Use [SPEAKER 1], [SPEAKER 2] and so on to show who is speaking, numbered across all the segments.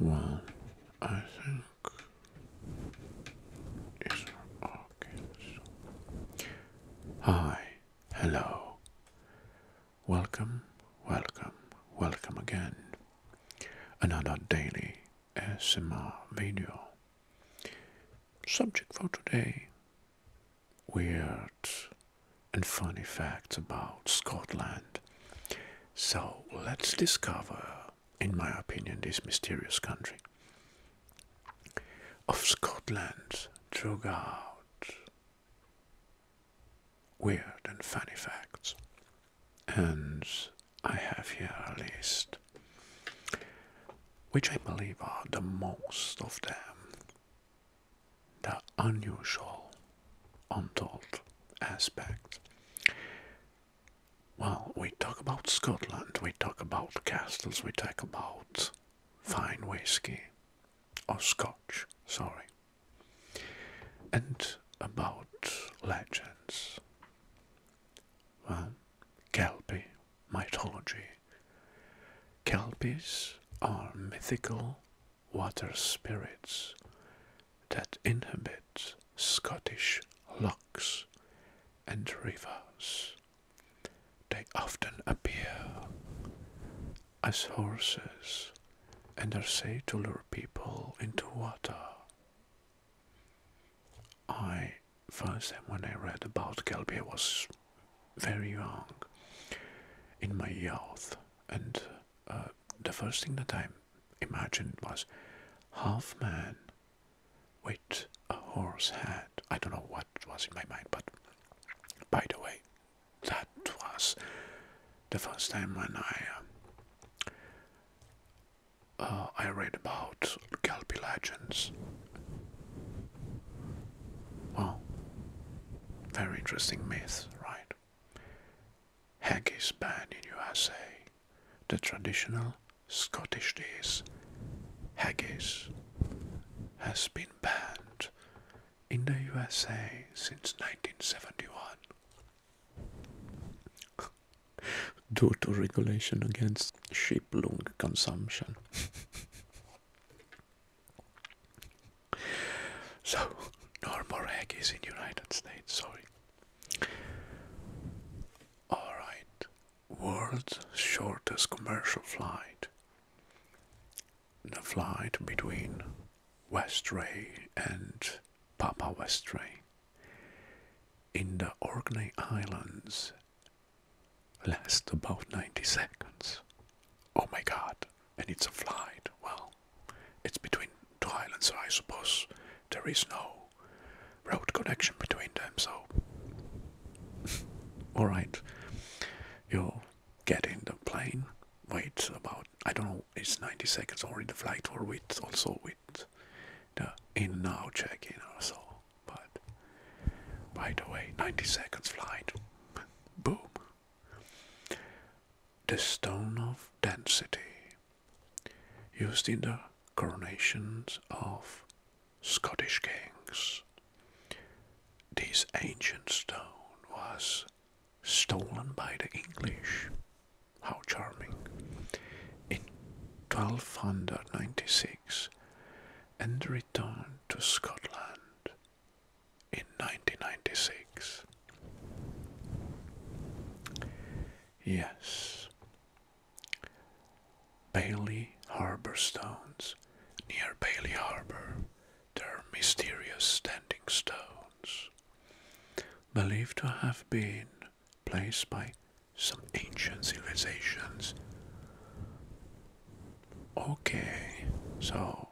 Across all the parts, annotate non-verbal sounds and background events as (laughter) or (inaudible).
[SPEAKER 1] Well, I think it's okay. Hi, hello. Welcome, welcome, welcome again. Another daily SMR video. Subject for today weird and funny facts about Scotland. So let's discover, in my opinion, this mysterious country of Scotland out weird and funny facts. And I have here a list which I believe are the most of them the unusual, untold aspect. Well, we talk about Scotland, we talk about castles, we talk about fine whisky, or scotch, sorry, and about legends. Well, Kelpie mythology. Kelpies are mythical water spirits that inhabit Scottish lochs and rivers. They often appear as horses and are said to lure people into water. I first time when I read about Kelpie was very young in my youth. And uh, the first thing that I imagined was half man with a horse head. I don't know what was in my mind, but by the way, that was the first time when I. Um, uh, I read about Kelpie legends. Well, very interesting myth, right? Haggis is banned in USA. The traditional Scottish dish haggis has been banned in the USA since 1971 (laughs) due to regulation against sheep lung consumption. (laughs) So, normal egg is in United States, sorry. Alright, world's shortest commercial flight. The flight between Westray and Papa Westray in the Orkney Islands lasts about 90 seconds. Oh my god, and it's a flight. Well, it's between two islands, so I suppose there is no road connection between them, so. (laughs) Alright, you get in the plane, wait about, I don't know, it's 90 seconds already. the flight or with also with the in now check in or so, but by the way, 90 seconds flight, boom, the stone of density, used in the coronations of Scottish kings. This ancient stone was stolen by the English. How charming! In 1296 and returned to Scotland in 1996. Yes, Bailey Harbor Stones. Near Bailey Harbor, there are mysterious standing stones, believed to have been placed by some ancient civilizations. Okay, so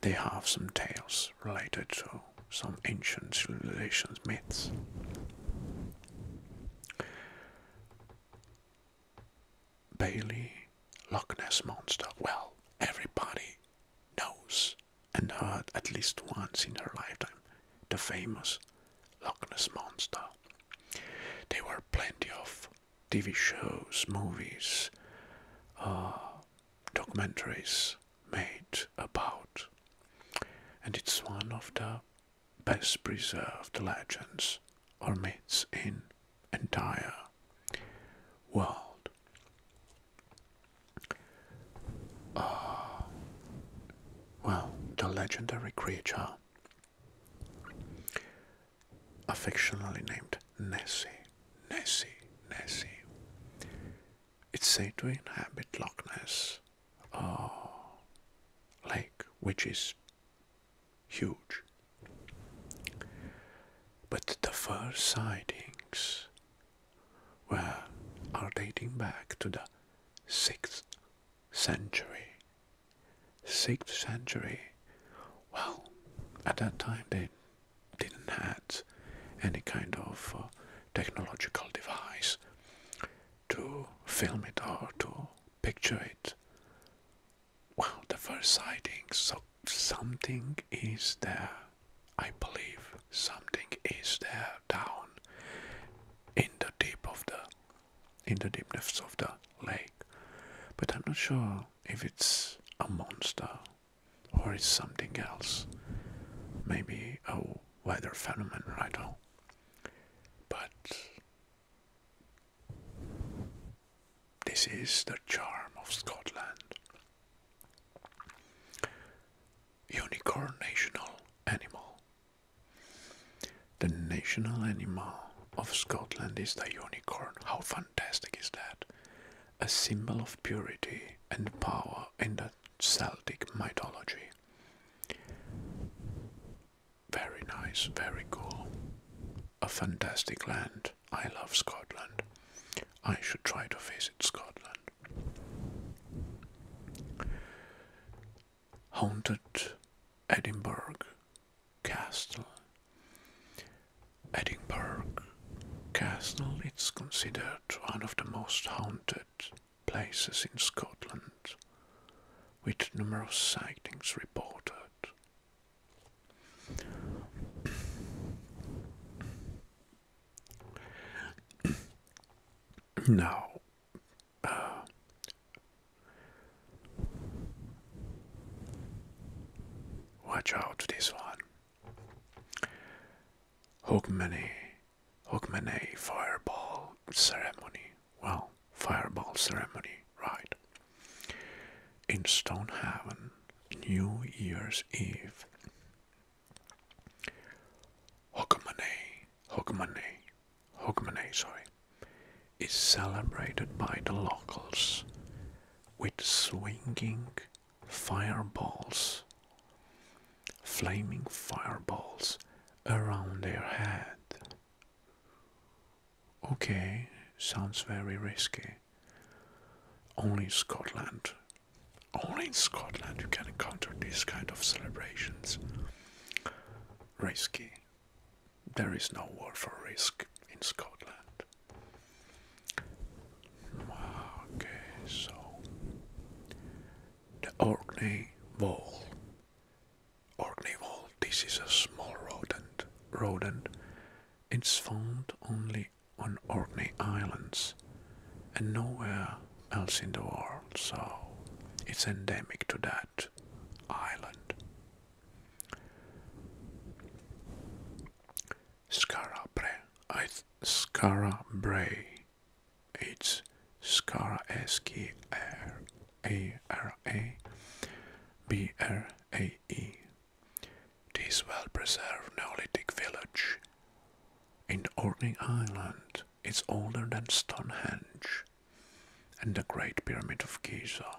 [SPEAKER 1] they have some tales related to some ancient civilizations myths. Bailey Loch Ness Monster. Well, everybody knows and heard at least once in her lifetime the famous Loch Ness Monster. There were plenty of TV shows, movies, uh, documentaries made about. And it's one of the best preserved legends or myths in entire world. Uh, well, the legendary creature affectionately named Nessie. Nessie, Nessie. It's said to inhabit Loch Ness uh, Lake, which is huge. But the first sightings were are dating back to the 6th century 6th century, well, at that time they didn't had any kind of uh, technological device to film it or to picture it. Well, the first sightings, so something is there. I believe something is there down in the deep of the in the deepness of the lake. But I'm not sure if it's a monster or it's something else. Maybe a weather phenomenon, I know. But this is the charm of Scotland. Unicorn national animal. The national animal of Scotland is the unicorn. How fun! fantastic is that? A symbol of purity and power in the Celtic mythology. Very nice, very cool. A fantastic land. I love Scotland. I should try to visit Scotland. Haunted Edinburgh Castle. Edinburgh Castle is considered one of the most haunted places in Scotland, with numerous sightings reported. (coughs) now, uh, Watch out this one. Hogmanay. Hogmanay fireball ceremony. Well, fireball ceremony, right. In Stonehaven, New Year's Eve. Hogmanay, Hogmanay, Hogmanay, sorry, is celebrated by the locals with swinging fireballs, flaming fireballs around their head. Okay, sounds very risky. Only in Scotland. Only in Scotland you can encounter these kind of celebrations. Risky, there is no war for risk in Scotland. Okay, so the Orkney Vole. Orkney Vole, this is a small rodent. rodent. It's found only on Orkney Islands and nowhere else in the world, so it's endemic to that island. Skara Brae, It's Scara S K R A R A B R A E. This well preserved Neolithic village in Orkney Island is older than Stonehenge and the Great Pyramid of Giza.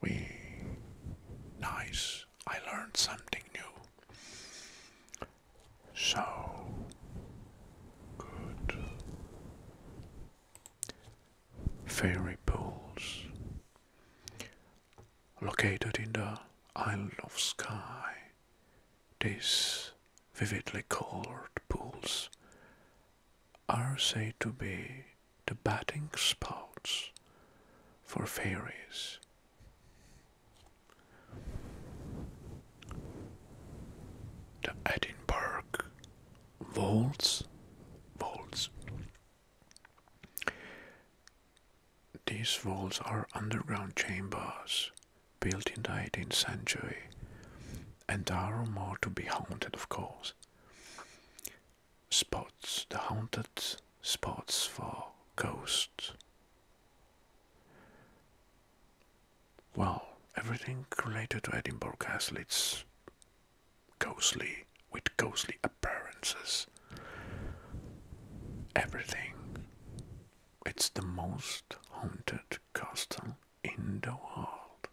[SPEAKER 1] We. Nice. I learned something new. So. Good. Fairy pools. Located in the Isle of Sky. these vividly colored pools are said to be the batting spots for fairies. The Edinburgh Wolds, Wolds. These walls are underground chambers built in the 18th century and are more to be haunted, of course spots, the haunted spots for ghosts. Well, everything related to Edinburgh Castle, it's ghostly, with ghostly appearances. Everything. It's the most haunted castle in the world.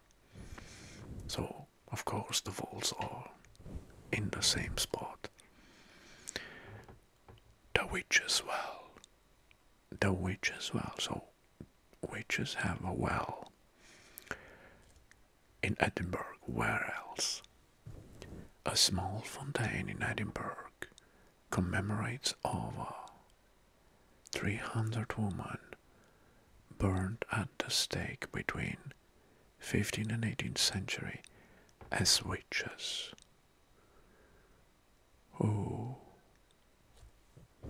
[SPEAKER 1] So, of course the walls are in the same spot. The witches well. The witches well. So witches have a well in Edinburgh. Where else? A small fountain in Edinburgh commemorates over 300 women burned at the stake between 15th and 18th century as witches. Oh,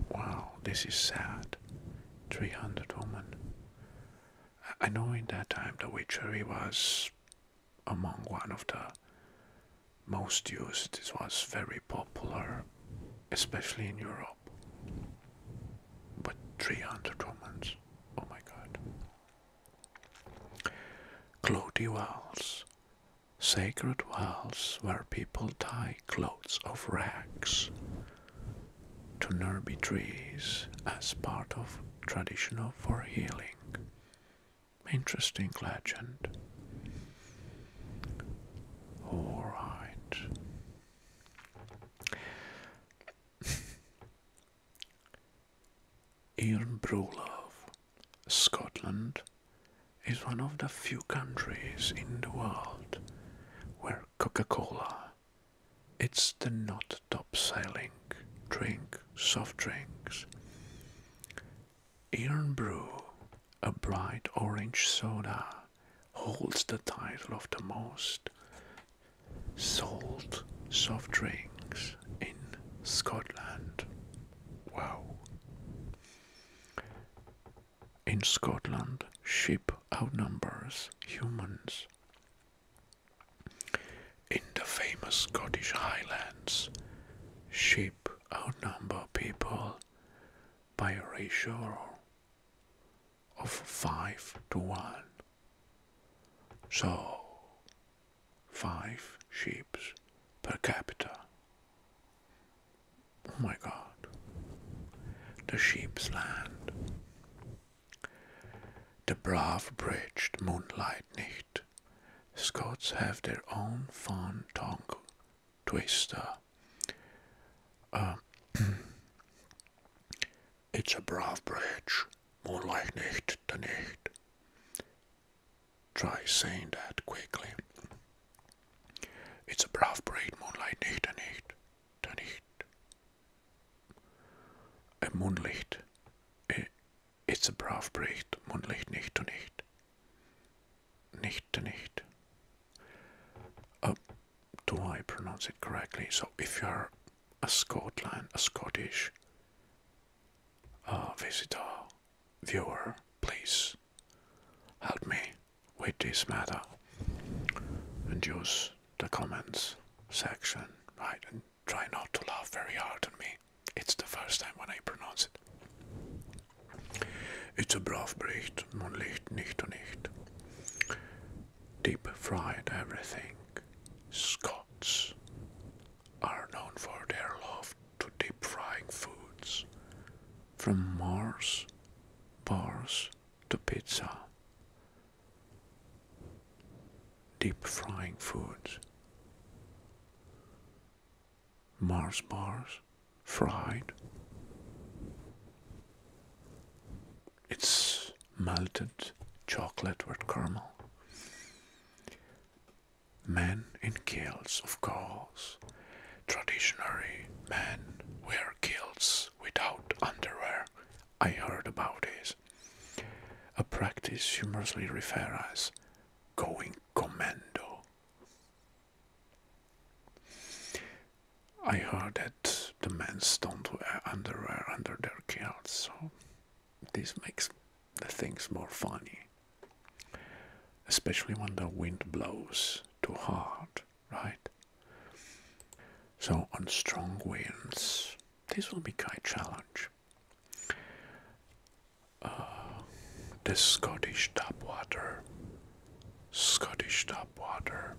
[SPEAKER 1] wow, this is sad. 300 women. I know in that time the witchery was among one of the most used. It was very popular, especially in Europe. But 300 Romans. Oh my god. Clothy wells. Sacred wells where people tie clothes of rags to nearby trees as part of traditional for healing. Interesting legend. Alright. (laughs) Ian Brulov, Scotland, is one of the few countries in the world where Coca Cola, it's the not top selling drink, soft drinks. Irn Bru, a bright orange soda holds the title of the most sold soft drinks in Scotland. Wow. In Scotland, sheep outnumber humans. In the famous Scottish Highlands, sheep outnumber people by a ratio of 5 to 1. So, 5 ships per capita. Oh my god. The sheep's land. The brave bridged moonlight night. Scots have their own fond tongue twister. Uh, (clears throat) It's a brave bridge, more like nicht than nicht. Try saying that quickly. It's a brave bridge, more like nicht than nicht nicht. A moonlight. Eh, it's a brav bridge, moonlight nicht nicht. Nicht nicht. Uh, do I pronounce it correctly? So if you're a Scotland, a Scottish uh, visitor, viewer, please help me with this matter and use the comments section, right? And try not to laugh very hard at me. It's the first time when I pronounce it. It's a brav Bericht, man nicht nicht deep fried everything. Scots are known for their love to deep frying foods, from Mars bars to pizza. Deep frying foods. Mars bars fried it's melted chocolate with caramel. Men in kilts, of course. Traditionally, men wear kilts without underwear. I heard about this. A practice humorously referred as going commando. I heard that the men don't wear underwear under their kilts, so this makes the things more funny. Especially when the wind blows too hard, right? So on strong winds, this will be quite a challenge. Uh, the Scottish tap water, Scottish tap water,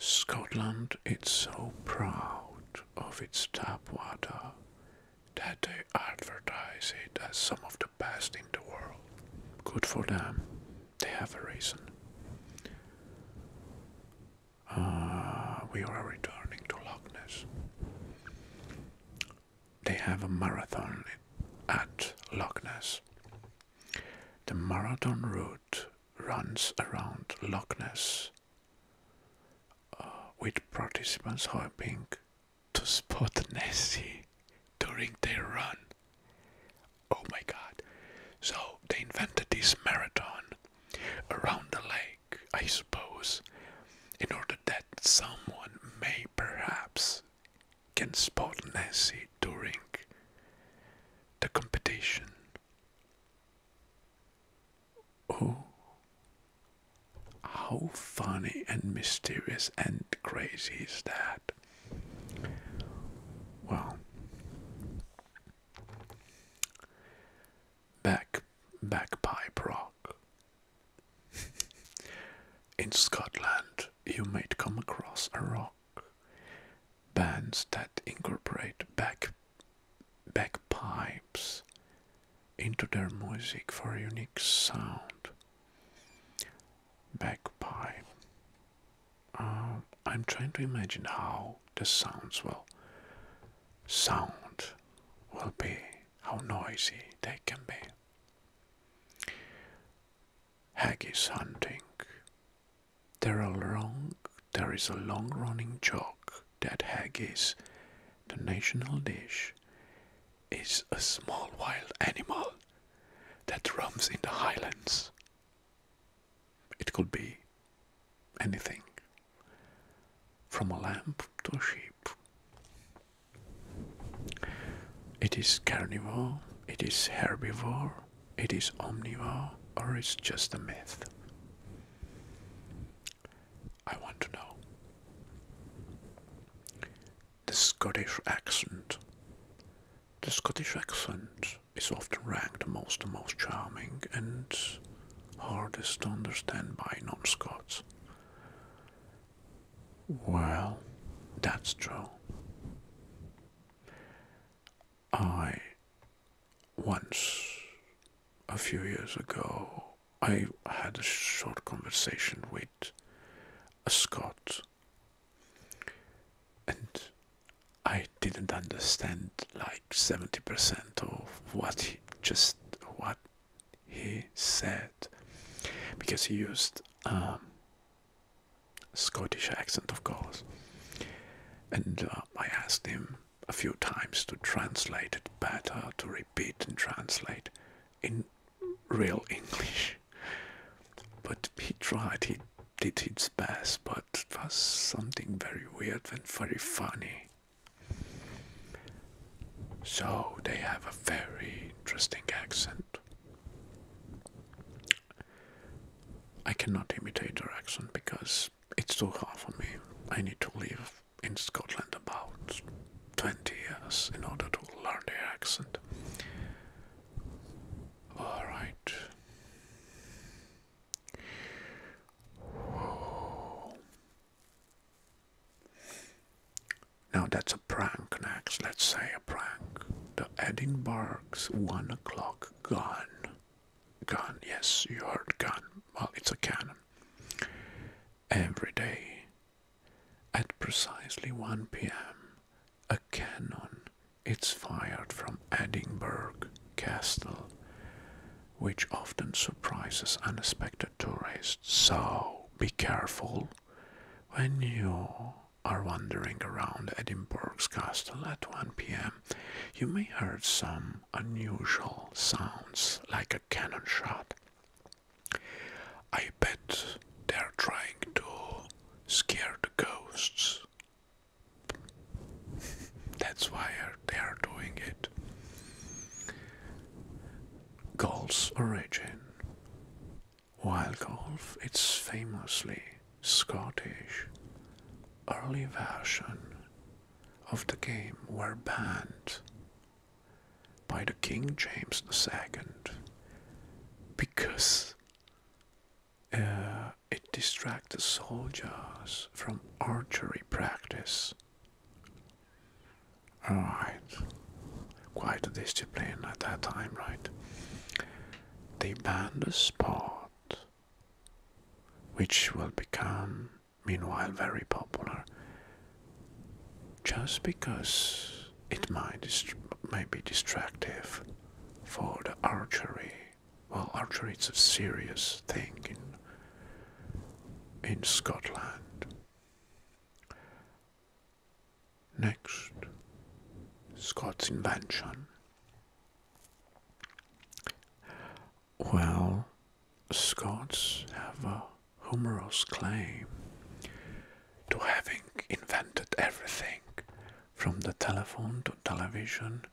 [SPEAKER 1] Scotland is so proud of its tap water that they advertise it as some of the best in the world. Good for them. They have a reason. Uh, we are returning to Loch Ness. They have a marathon at Loch Ness. The marathon route runs around Loch Ness, uh, with participants hoping to spot (laughs) Nessie during their run. Oh my god. So they invented this marathon around the lake, I suppose, in order that someone may perhaps can spot Nessie during the competition. Oh, how funny and mysterious and crazy is that? Well, back, backpipe rock. (laughs) In Scotland, you might come across a rock bands that incorporate back backpipes into their music for a unique sound. Backpipe. Um, I'm trying to imagine how the sounds will sound will be, how noisy they can be. Haggis hunting there are long there is a long running joke that haggis, the national dish, is a small wild animal that roams in the highlands. It could be anything from a lamb to a sheep. It is carnivore, it is herbivore, it is omnivore or it's just a myth. I want to know. The Scottish accent. The Scottish accent is often ranked amongst the most charming and hardest to understand by non-Scots. Well, that's true. I once, a few years ago, I had a short conversation with a Scot, and I didn't understand like seventy percent of what he just what he said because he used um, Scottish accent, of course. And uh, I asked him a few times to translate it better, to repeat and translate in real English. But he tried, he did his best, but was something very weird and very funny. So they have a very interesting accent. I cannot imitate her accent because it's too hard for me. I need to live in Scotland about 20 years in order to learn their accent. Alright. Now that's a prank next, let's say a prank. The Edinburgh's one o'clock gun. Gun, yes, you heard gun. Well, it's a cannon. Every day, at precisely 1 pm, a cannon It's fired from Edinburgh Castle, which often surprises unexpected tourists. So be careful when you are wandering around Edinburgh's castle at 1 pm, you may hear some unusual sounds like a cannon shot. I bet they're trying to scare the ghosts. (laughs) That's why they're doing it. Golf's origin. While golf It's famously Scottish early version of the game were banned by the King James II because uh, it distracted soldiers from archery practice. Alright, quite a discipline at that time, right? They banned the sport which will become, meanwhile, very popular just because it might, dist be distractive for the archery. Well, archery is a serious thing in, in Scotland. Next, Scott's invention. Well, Scots have a humorous claim to having invented everything from the telephone to television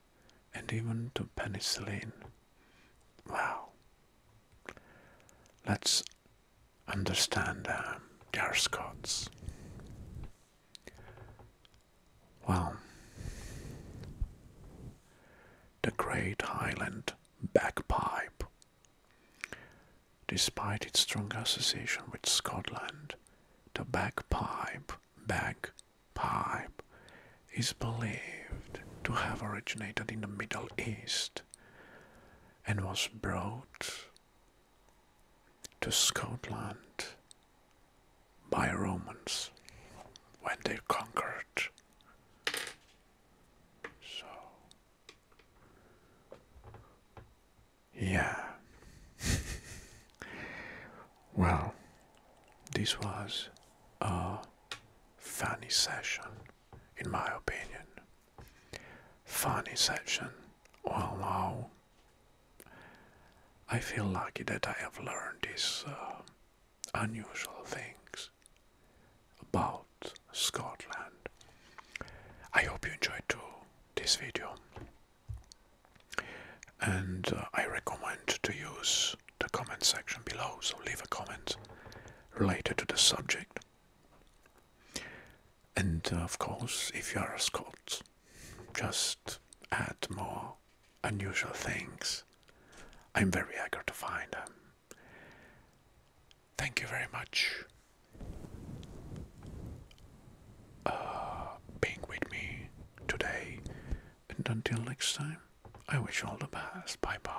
[SPEAKER 1] and even to penicillin. Well, Let's understand our um, Scots. Well, The Great Highland Bagpipe. Despite its strong association with Scotland, the bagpipe, bagpipe, is believed to have originated in the Middle East and was brought to Scotland by Romans when they conquered. So, yeah. (laughs) well, this was a funny session, in my opinion. Funny session, although I feel lucky that I have learned these uh, unusual things about Scotland. I hope you enjoyed this video and uh, I recommend to use the comment section below so leave a comment related to the subject and uh, of course if you are a Scot just add more unusual things. I'm very eager to find them. Thank you very much uh, being with me today, and until next time, I wish you all the best. Bye bye.